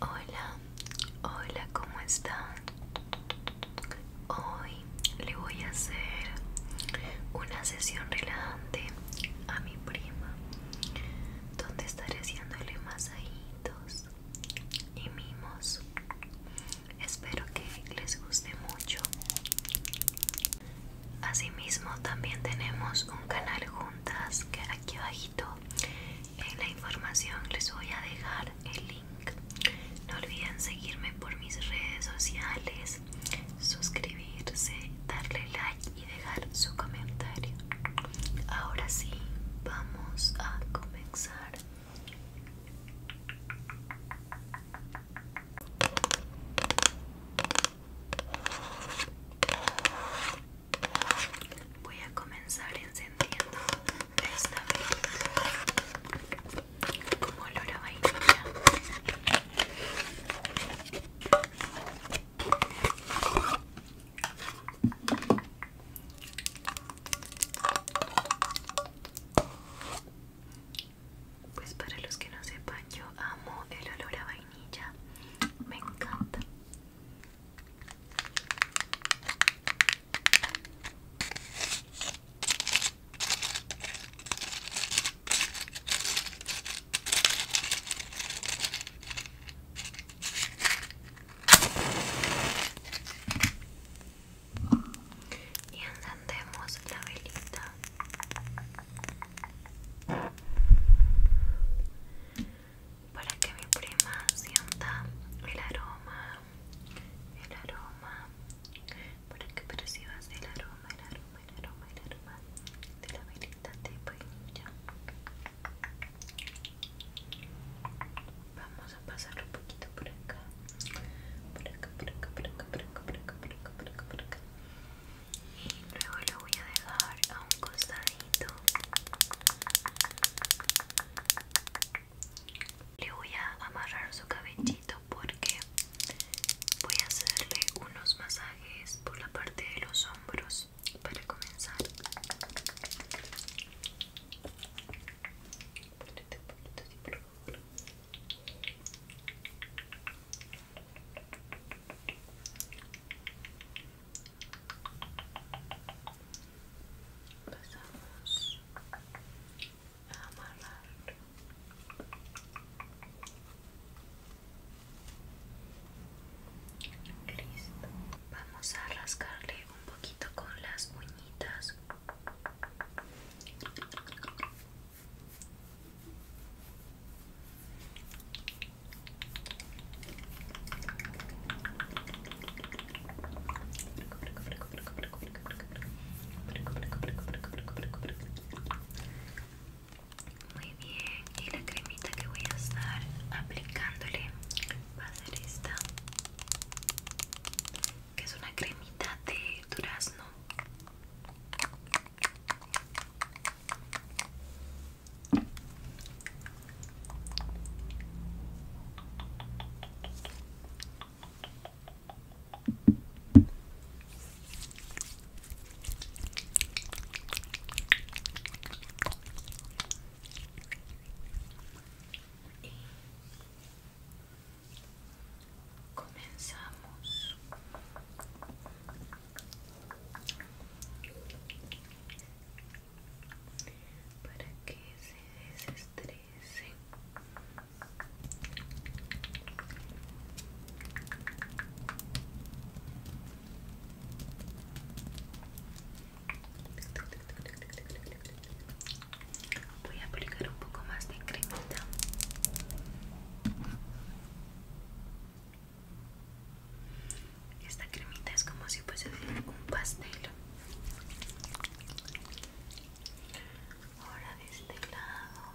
Hola, hola, ¿cómo están? Hoy le voy a hacer una sesión relajante a mi prima, donde estaré haciéndole masajitos y mimos. Espero que les guste mucho. Asimismo, también tenemos un canal juntas que aquí abajito en la información les voy a dejar el link no olviden seguirme por mis redes sociales suscribirse darle like y dejar su comentario ahora sí vamos a comenzar Voy a comenzar encendiendo esta velita como olor a vainilla. Pues para los que no sepan, yo amo el olor a vainilla, me encanta. Y encendemos la velita para que mi prima sienta el aroma, el aroma, para que percibas el aroma, el aroma, el aroma, el aroma de la velita de vainilla. Vamos a pasarlo un poquito por acá, por acá, por acá, por acá, por acá, por acá, por acá, por acá, por acá. Y luego lo voy a dejar a un costadito le voy a amarrar su cabellito porque voy a hacerle unos masajes por la parte de los hombros para comenzar. Pasamos a amarrar listo vamos a rascarle un poquito con las uñitas muy bien, y la cremita que voy a estar aplicándole va a ser esta, que es una cremita de durazno. Y comenzamos para que se desestrese voy a aplicar un poco más de cremita esta cremita es como si fuese un pastel. Ahora de este lado.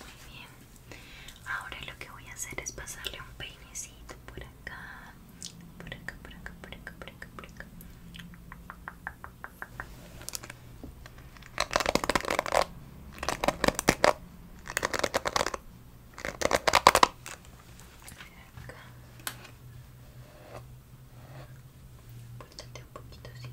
Muy bien. Ahora lo que voy a hacer es pasarle un peinecito por acá. Por acá, por acá, por acá, por acá, por acá. Acá. un poquito así.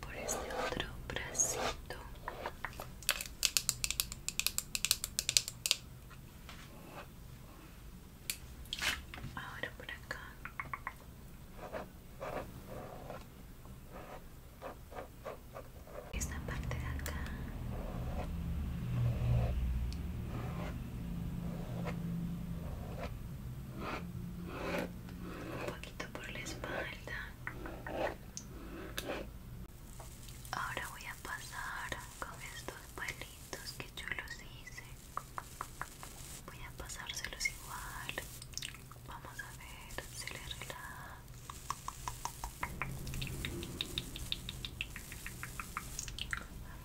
por este otro bracito ahora por acá esta parte de acá un poquito por la espalda. Ahora voy a pasar con estos palitos que yo los hice. Voy a pasárselos igual. Vamos a ver si le relaja.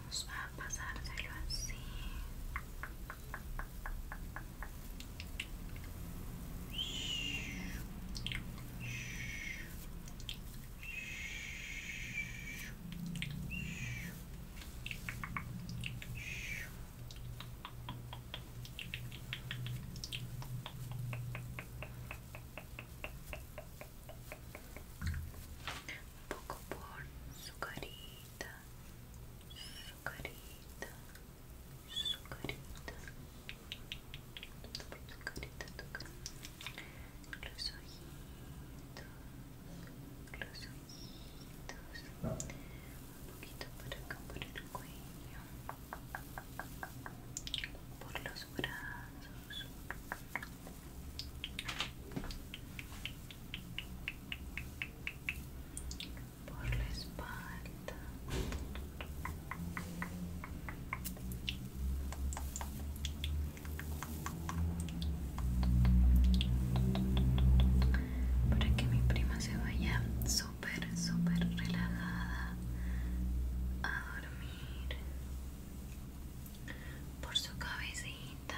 Vamos a pasárselo así. Un poco por su carita su carita, su carita, los ojitos, los ojitos, un poquito para acá por el cuello, por los brazos por la espalda para que mi prima se vaya súper súper relajada a dormir por su cabecita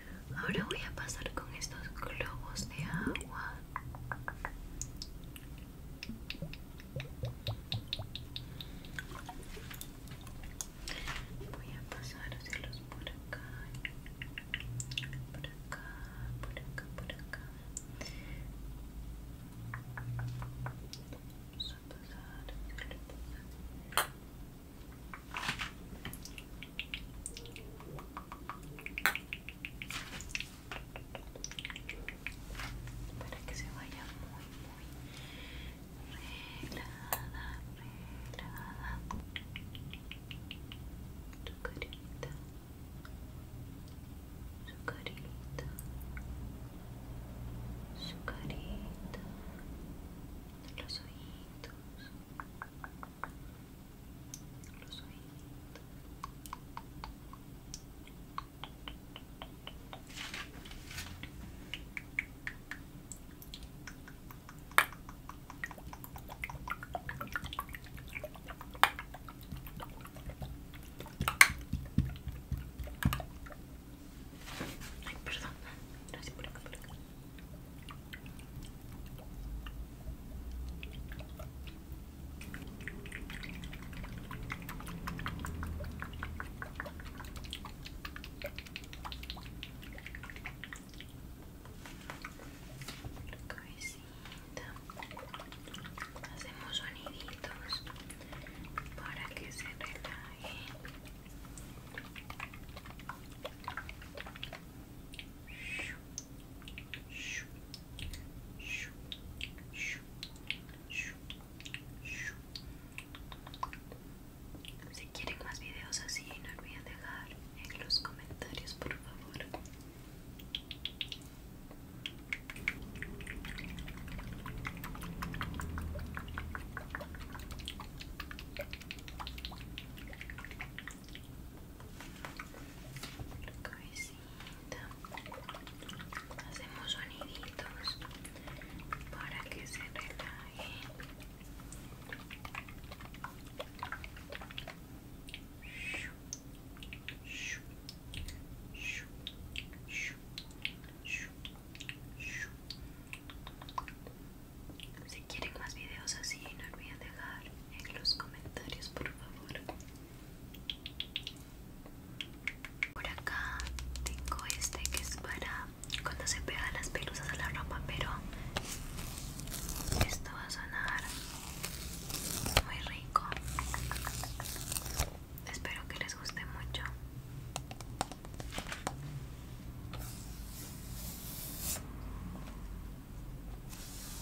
Ahora voy a pasar con estos globos de agua. Voy a los por acá, por acá, por acá, por acá. Vamos a pasárselos para que se vaya muy muy su carita su carita su carita los los ojitos Ay, perdón, no sé por acá, por acá. Cabecita. Hacemos soniditos para que se relaje. Si quieren más videos así, no olviden dejar en los comentarios, por favor hacemos soniditos para que se relaje si quieren más videos así no olviden dejar en los comentarios por favor por acá tengo este que es para cuando se pega las pelusas a la ropa pero esto va a sonar muy rico espero que les guste mucho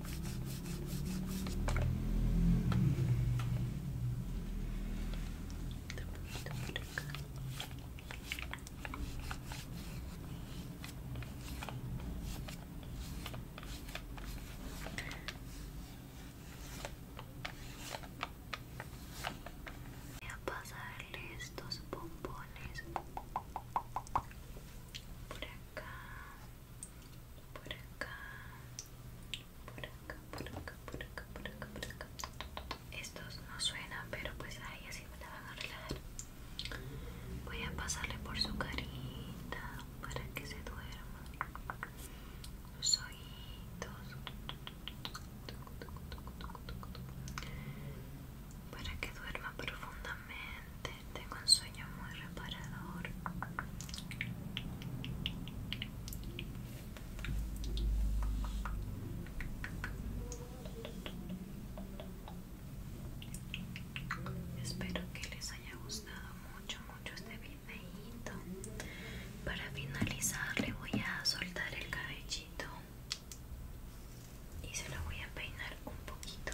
Voy a pasarle estos bombones por acá, por acá, por acá, por acá, por acá, por acá, por acá. Estos no suenan, pero pues ahí así me la van a relajar. Voy a pasarle por su carita para que se duerma. Sus ojitos. Para que duerma profundamente. Tengo un sueño reparador espero que les haya gustado mucho mucho este videito para finalizar le voy a soltar el cabellito y se lo voy a peinar un poquito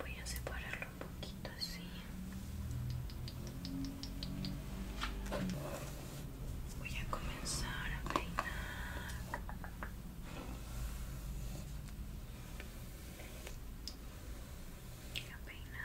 Voy a separarlo un poquito así. Voy a comenzar a peinar. a peinar.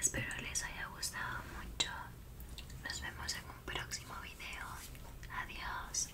Espero les haya gustado mucho. Nos vemos en un próximo video. Adiós.